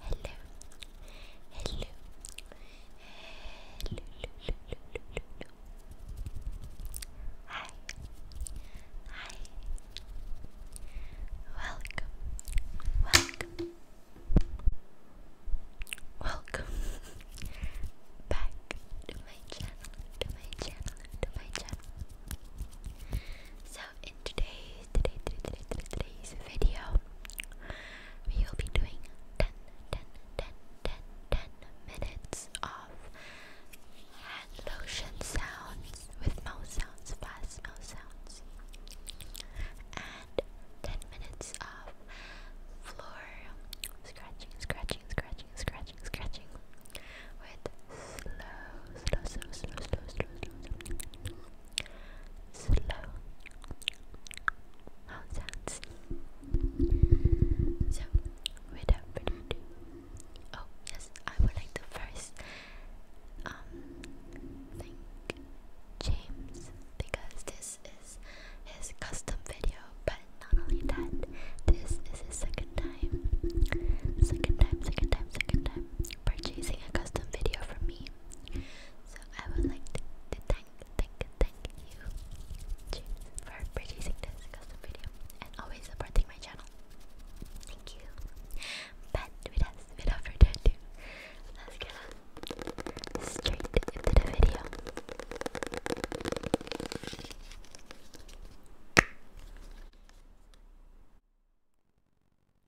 Hello, hello, hello, hi, hi, welcome, welcome, welcome back to my channel, to my channel, to my channel. So in today's video, we will be doing 10, minutes of hand lotion sounds with mouth sounds, fast mouth sounds, and 10 minutes of floor scratching, scratching, scratching, scratching, scratching. With slow, slow, slow, slow, slow, slow, slow. How it So, without further ado, oh yes, I would like to first um thank James because this is his custom video, but not only that, this is his second time, second time, second time, second purchasing a custom video from me. So I would like to, thank, thank, thank you for purchasing this custom video and always supporting my channel. Thank you. But without, further ado, let's get straight into the video.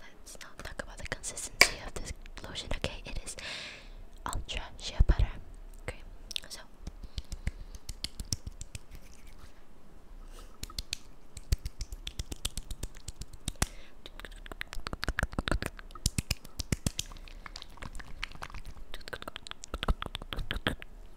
Let's not talk about the consistency of this lotion. Okay, it is ultra shea butter. Okay, so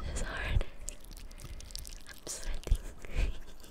This is hard. I'm sweating.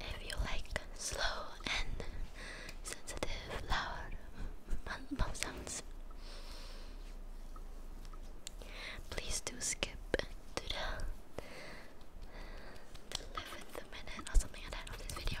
if you like slow and sensitive, loud mouth sounds. Please do skip to the eleventh minute or something like that of this video.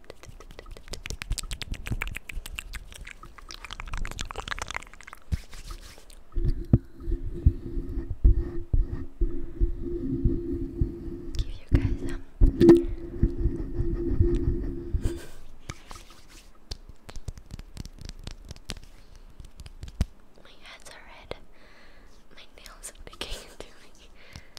Give you guys some My hands are red. My nails are picking into me.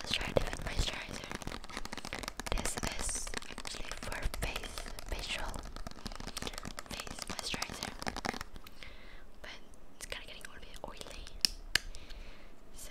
Let's try to my moisturizer. This is actually for face facial face moisturizer, but it's kind of getting a little bit oily. So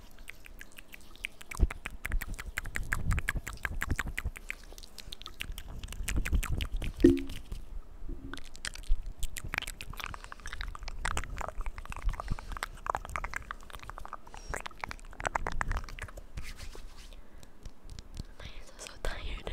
My hands are so tired.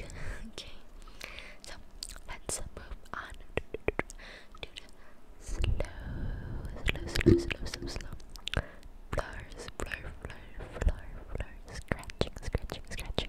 okay, so let's move on to the slow, slow, slow, slow, slow, slow flowers, flower, flower, flower, flower, scratching, scratching, scratching,